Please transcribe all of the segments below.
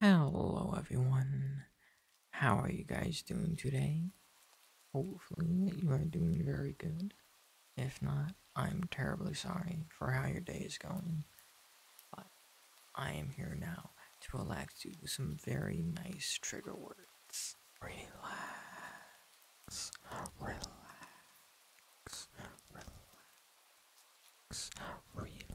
Hello, everyone. How are you guys doing today? Hopefully, you are doing very good. If not, I'm terribly sorry for how your day is going. But I am here now to relax you with some very nice trigger words. Relax. Relax. Relax. Relax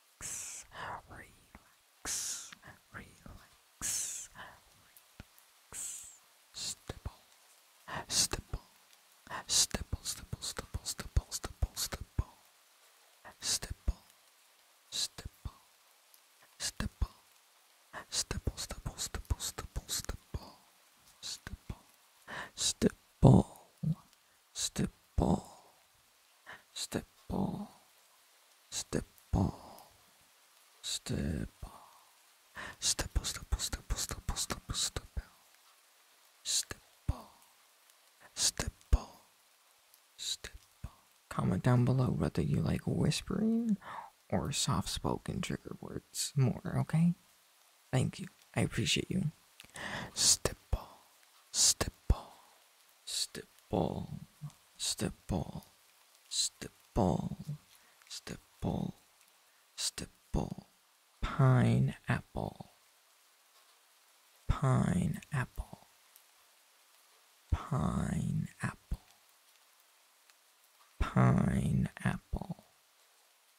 relax, relax, relax, relax. Stipple, stipple, stipple, stipple, stipple, stipple, stipple, stipple, stipple, stipple, stipple, stipple, stipple, stipple, stipple, stipple, stipple, stipple step stipple, stipple, stipple, stipple, stipple, stipple, stipple, stipple, stipple, stipple, stipple, stipple. Comment down below whether you like whispering or soft spoken trigger words more, okay? Thank you. I appreciate you. Stipple, stipple, stipple, stipple, stipple, stipple, stipple, pineapple, pineapple, pineapple, pineapple,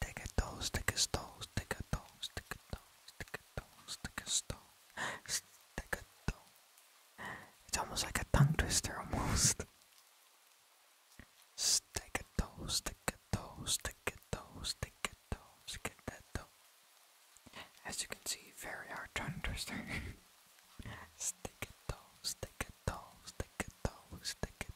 Take a toe, stick a stone, stick a toe, stick a toe, stick a toe, stick a stone, stick a toe. It's almost like a tongue twister, almost. Stick a toe, stick a toe, stick a toe, stick a toe, stick a toe. As you can see, very hard tongue twister. stick a toe, stick a toe, stick a toe, stick a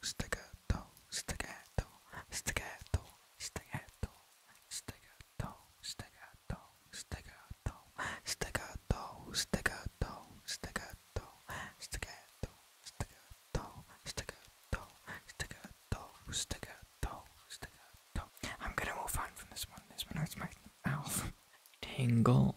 staccato, staccato, staccato, staccato, staccato, staccato, staccato, staccato, staccato, staccato, staccato, staccato, staccato, staccato, staccato, staccato, staccato. I'm gonna move on from this one. This one hurts my mouth. Tingle,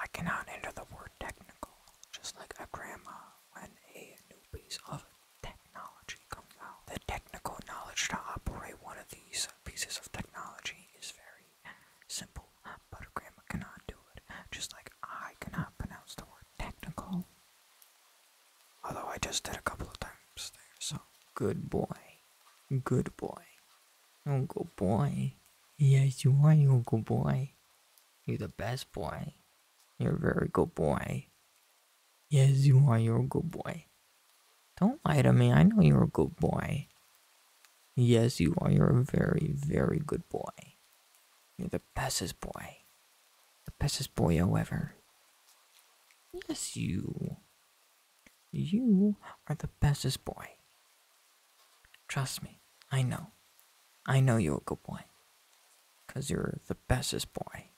I cannot enter the word technical, just like a grandma when a new piece of technology comes out. The technical knowledge to operate one of these pieces of technology is very simple, but a grandma cannot do it, just like I cannot pronounce the word technical. Although I just did a couple of times there, so good boy. Good boy. Uncle boy. Yes, you are, Uncle boy. You're the best boy. You're a very good boy. Yes, you are. You're a good boy. Don't lie to me. I know you're a good boy. Yes, you are. You're a very, very good boy. You're the bestest boy. The bestest boy ever. Yes, you. You are the bestest boy. Trust me, I know. I know you're a good boy. Because you're the bestest boy.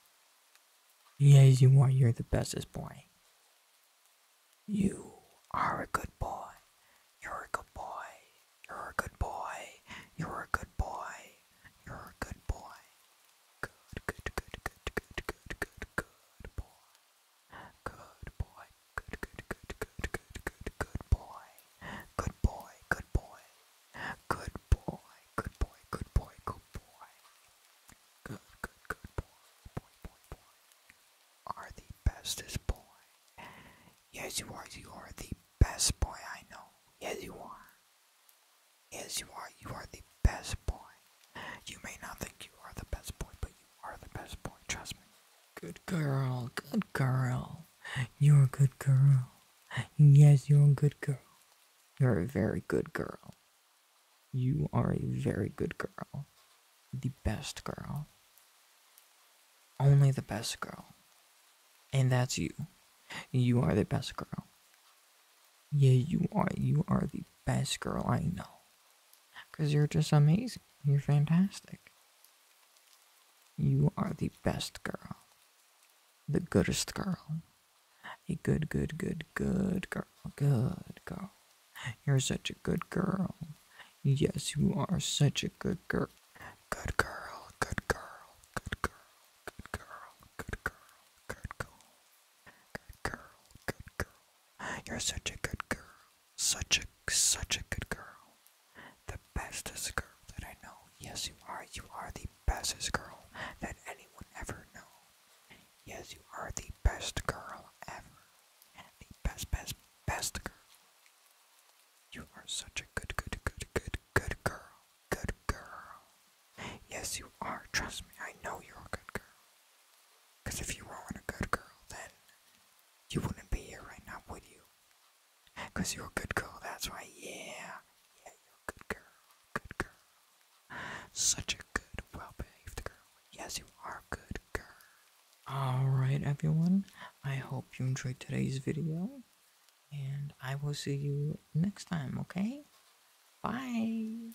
Yes, you are. You're the bestest boy. You are a good boy. You're a good boy. You're a good boy. You're a good boy. You're a good boy. Good, good, good, good, good, good, good, good boy. Good boy. Good, good, good, good, good, good, good boy. Good boy, good boy. Good boy, good boy, good boy, good boy. Good, good, good boy, boy, boy, boy. Are the bestest boy. Yes, you are. You are the best boy I know. Yes, you are. Yes, you are. You are the best boy. You may not think you are the best boy, but you are the best boy. Trust me. Good girl, good girl. You're a good girl. Yes, you're a good girl. You're a very good girl. You are a very good girl. The best girl. Only the best girl. And that's you. You are the best girl. Yeah, you are. You are the best girl I know. Because you're just amazing. You're fantastic. You are the best girl. The goodest girl. A good, good, good, good girl. Good girl. You're such a good girl. Yes, you are such a good girl. Good girl, good girl, good girl, good girl, good girl, good girl, good girl, good girl. You're such a good girl. Such a such a good girl. The bestest girl that I know. Yes you are. You are the bestest girl that anyone ever knew. Yes, you are the best girl ever. The best best best girl. You are such a good good good good good girl. Good girl. Yes you are. Trust me, I know you're a good girl. Cause if you weren't a good girl, then you wouldn't be here right now, would you? Because you're a good girl, that's why. yeah. Yeah, you're a good girl, good girl. Such a good, well behaved girl. Yes, you are a good girl. Alright, everyone, I hope you enjoyed today's video, and I will see you next time, okay? Bye!